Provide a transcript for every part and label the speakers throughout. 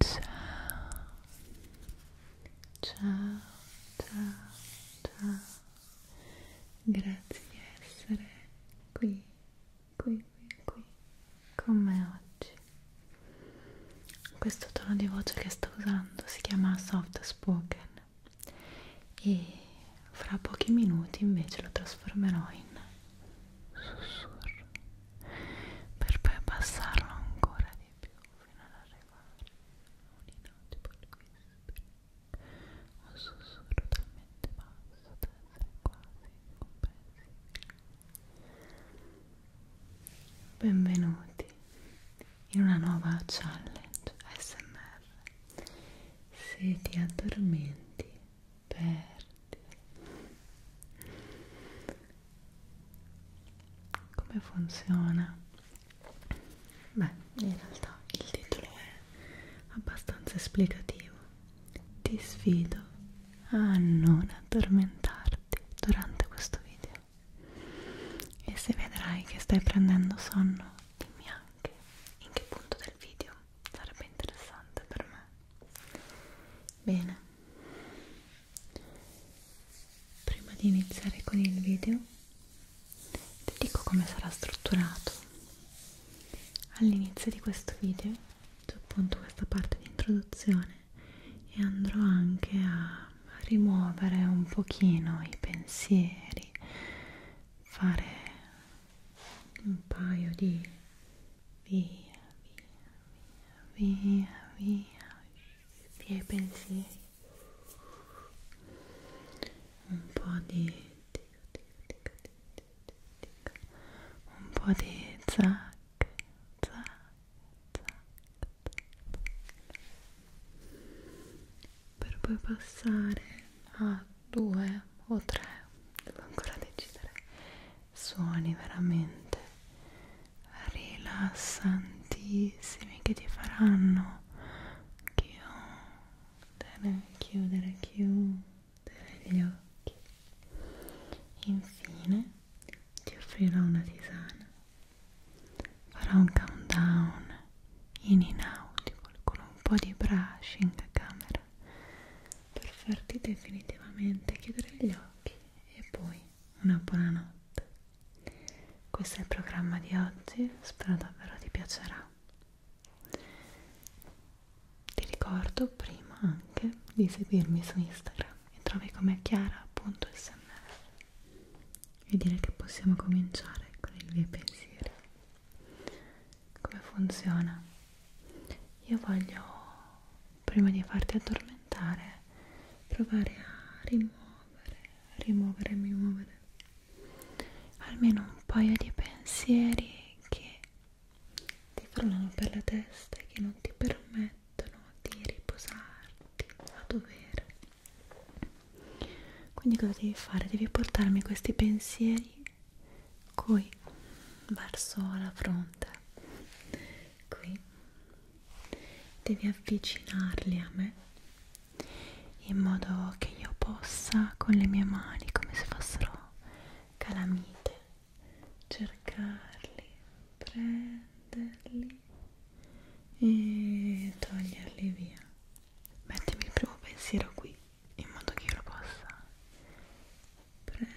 Speaker 1: Ciao. Ciao, ciao, ciao. Grazie di essere qui, qui, qui, qui con me oggi. Questo tono di voce che sto usando si chiama soft spoken e fra pochi minuti invece lo trasformerò in sussurro per poi abbassarlo ancora di più fino ad arrivare a un inaudibile whispering, un sussurro talmente basso da essere quasi incomprensibile. Benvenuti in una nuova challenge ASMR. Se ti addormenti perdere come funziona? beh in realtà il titolo è abbastanza esplicativo ti sfido a non addormentarti durante questo video e se vedrai che stai prendendo sonno dimmi anche in che punto del video sarebbe interessante per me Bene, prima di iniziare con il video ti dico come sarà strutturato. All'inizio di questo video c'è appunto questa parte di introduzione e andrò anche a rimuovere un pochino i pensieri, fare un paio di via, via, via, via, via i pensieri, un po' di un po' di zac, zac, zac, per poi passare a due o tre, devo ancora decidere suoni veramente rilassantissimi che ti faranno chiudere, chiudere, chiudere gli occhi. Infine ti offrirò una tisana. Farò un countdown in inaudible con un po' di brushing a camera per farti definitivamente chiudere gli occhi e poi una buonanotte. Questo è il programma di oggi, spero davvero ti piacerà. Ti ricordo prima anche di seguirmi su Instagram e trovi come chiara.smr e direi che possiamo cominciare con i miei pensieri. Come funziona? io voglio prima di farti addormentare provare a rimuovere rimuovere rimuovere almeno un paio di pensieri che ti frullano per la testa e che non ti permettono di riposarti a dovere quindi cosa devi fare? devi portarmi questi pensieri qui verso la fronte qui devi avvicinarli a me in modo che io possa con le mie mani come se fossero calamite cercarli prenderli e toglierli via mettimi il primo pensiero qui in modo che io lo possa prendere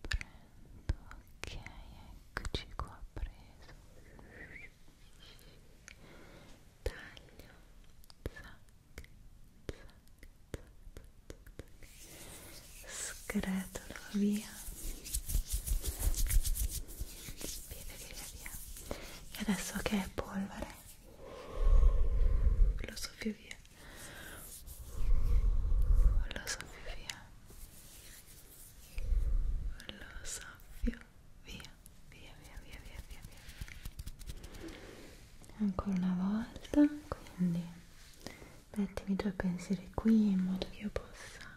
Speaker 1: prendo ok eccoci qua preso taglio zac, zac, zac, scretolo via via via via e adesso che è polvere lo soffio via lo soffio via lo soffio via via via via via via via ancora una volta quindi mettimi i tuoi pensieri qui in modo che io possa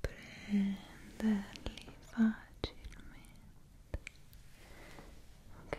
Speaker 1: prenderli facilmente ok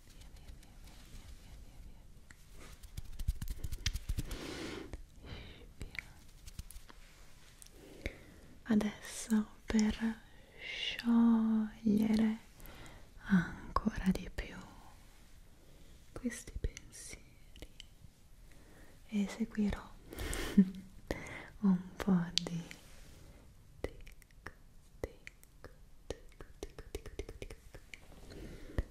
Speaker 1: via. Adesso per sciogliere ancora di più questi pensieri eseguirò un po' di tic tic tic tic tic tic tic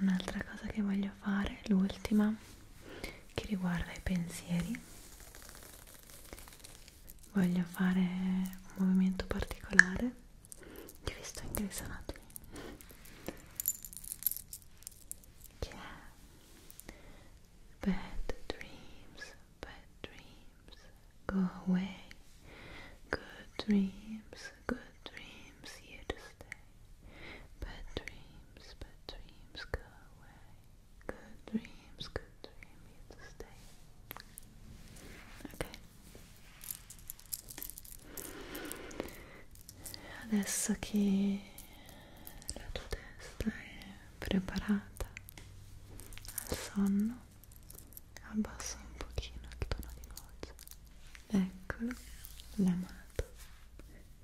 Speaker 1: un'altra cosa che voglio fare l'ultima che riguarda i pensieri voglio fare un movimento particolare che vi sto interessando che è bad dreams bad dreams go away good dreams good Good dreams here to stay. Bad dreams, bad dreams go away. Good dreams, good dream here to stay. Ok. Adesso che la tua testa è preparata al sonno, abbassa un pochino il tono di voce. Eccolo, l'amato sussurro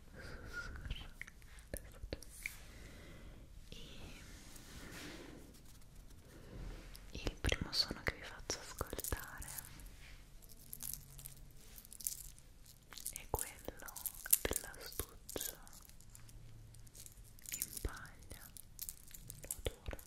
Speaker 1: e il primo suono che vi faccio ascoltare è quello dell'astuccio in paglia lo adoro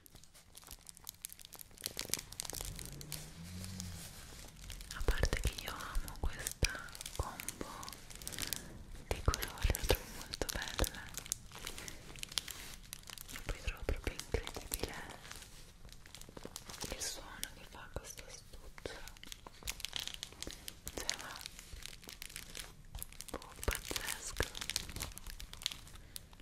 Speaker 1: a parte che io amo questa combo di colori la trovo molto bella e poi trovo proprio incredibile il suono che fa questo astuzzo cioè ma oh, pazzesco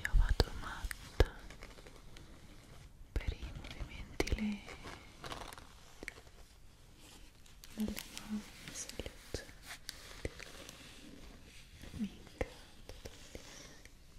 Speaker 1: Io vado matta per i movimenti lenti delle mani, salute, mi incanto tantissimo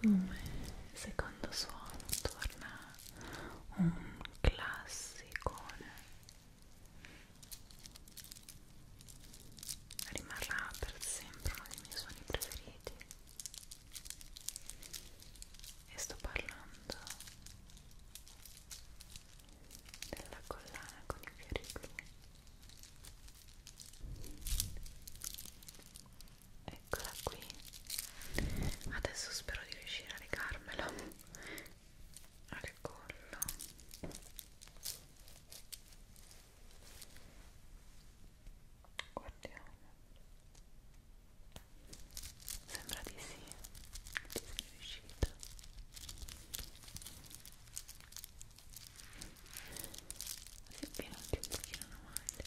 Speaker 1: come secondo suono torna un classicone rimarrà per sempre uno dei miei suoni preferiti e sto parlando della collana con i fiori blu eccola qui adesso spero di riuscire a legarmelo al collo guardiamo Sembra di sì, ci sei riuscita. Si appena un pochino alla maglia. Ora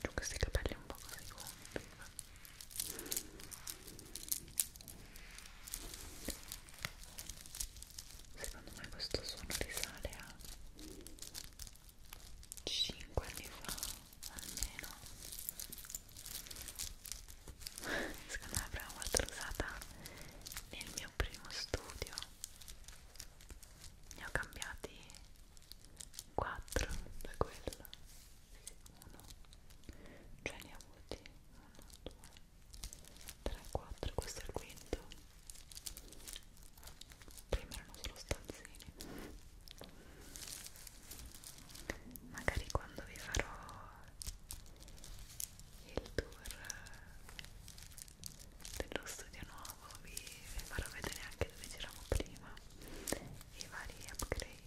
Speaker 1: Giù questi capelli un po' così, Secondo me questo suono risale a 5 anni fa almeno. Secondo me l'avrei molto usata nel mio primo studio. Ne ho cambiati 4 da quello. 1 cioè ne ha avuti 1, 2, 3, 4, questo è il quinto prima erano solo stanzini magari quando vi farò il tour dello studio nuovo vi farò vedere anche dove c'eravamo prima i vari upgrade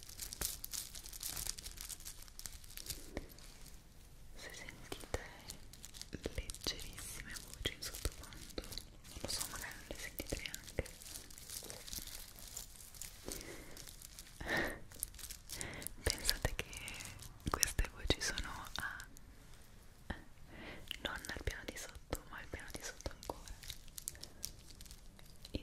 Speaker 1: se sentite leggerissime voci in sottofondo non lo so magari non le sentite neanche pensate che queste voci sono a non al piano di sotto ma al piano di sotto ancora e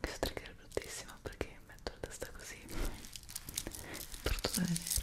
Speaker 1: Questo trigger è bruttissimo perché metto la testa così è brutto da vedere Okay.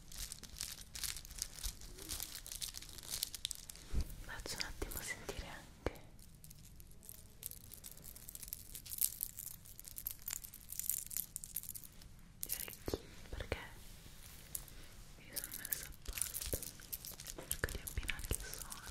Speaker 1: Faccio un attimo sentire anche gli cioè, orecchini perché mi sono messa a parte cerco di abbinare il suono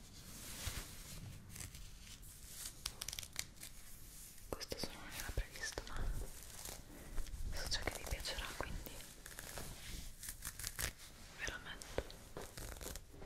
Speaker 1: questo solo non era previsto ma so già che vi piacerà quindi ve lo metto comincia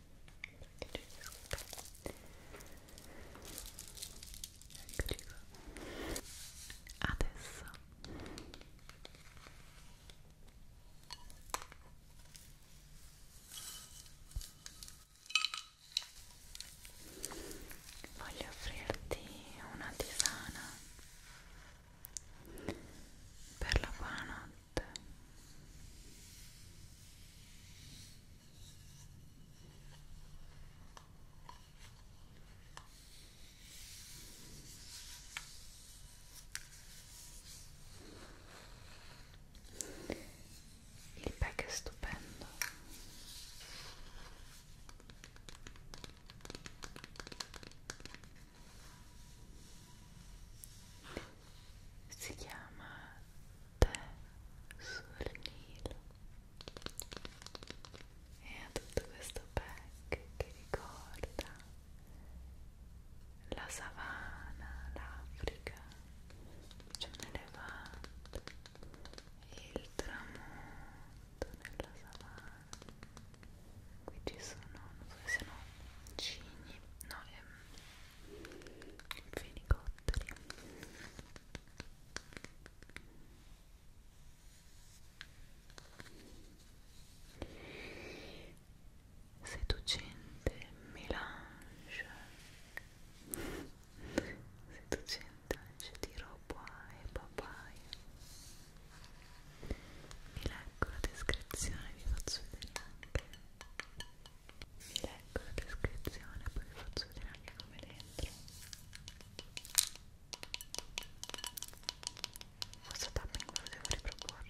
Speaker 1: Eccoci qua. Adesso voglio offrirti una tisana per la buonanotte il pack è stupendo si chiama Te sul Nilo e ha tutto questo pack che ricorda la savana, l'Africa, c'è un elefante, il tramonto nella savana qui ci sono, non so se sono cigni, no, ehm, fenicotteri seducente melange seducente anche di roba e papaya vi leggo la descrizione vi faccio vedere anche leggo la descrizione poi vi faccio vedere anche come dentro forse tapping lo devo riproporre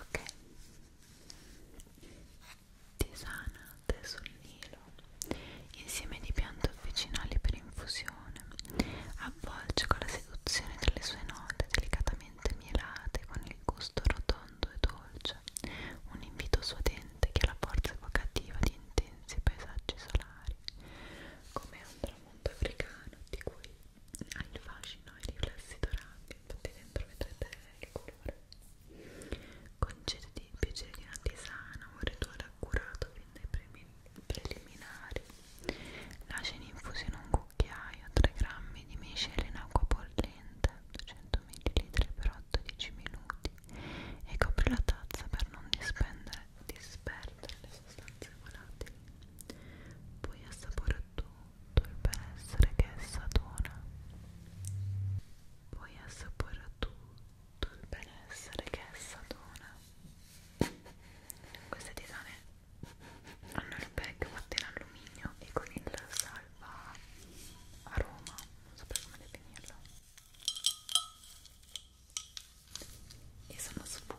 Speaker 1: ok tisana tè sul nilo insieme di piante officinali per infusione avvolge con la seduzione delle sue note delicatamente mielate con il gusto rotondo e dolce un invito suadente che ha la forza evocativa di intensi paesaggi solari come un tramonto africano di cui ha il fascino e i riflessi dorati, infatti dentro vedrete il colore. Concediti il piacere di una tisana, un rituale accurato fin dai primi, preliminari. Lascia in infusione un cucchiaio, 3 grammi di miscela in acqua bollente, 200 ml per 8-10 minuti e copri la tazza per non dispendere, disperdere le sostanze volatili puoi assaporare tutto il benessere che essa dona puoi assaporare tutto il benessere che essa dona queste tisane hanno il bag fatto in alluminio e con il salva aroma non so come definirlo e sono sfuse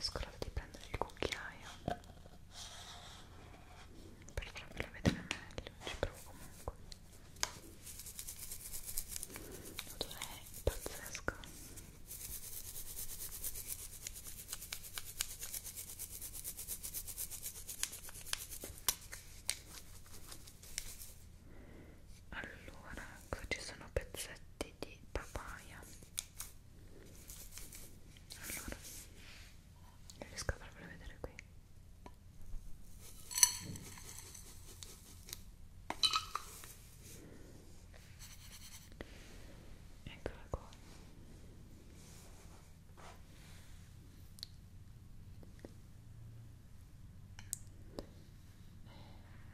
Speaker 1: Scordate di prendere il cucchiaio per farvelo vedere meglio, ci provo comunque. L'odore è pazzesco allora ecco ci sono pezzetti di papaya allora riesco a farvelo vedere qui eccola qua eh,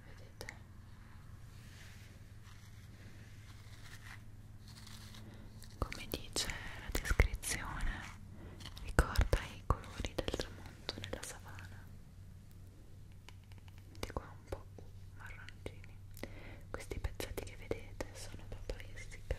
Speaker 1: vedete come dice la descrizione ricorda i colori del tramonto nella savana di qua un po' marroncini questi pezzetti che vedete sono proprio essiccata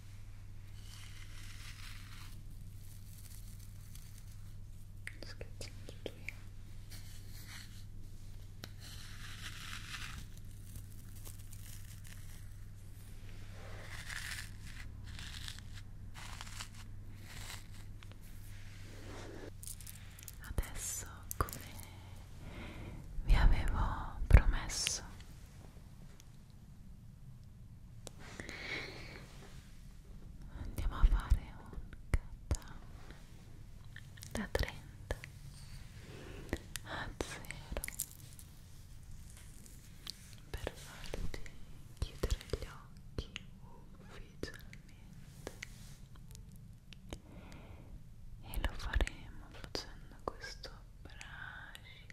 Speaker 1: scherzando tu io adesso come vi avevo promesso andiamo a fare un countdown da 30 a 0 per farti chiudere gli occhi ufficialmente e lo faremo facendo questo brushing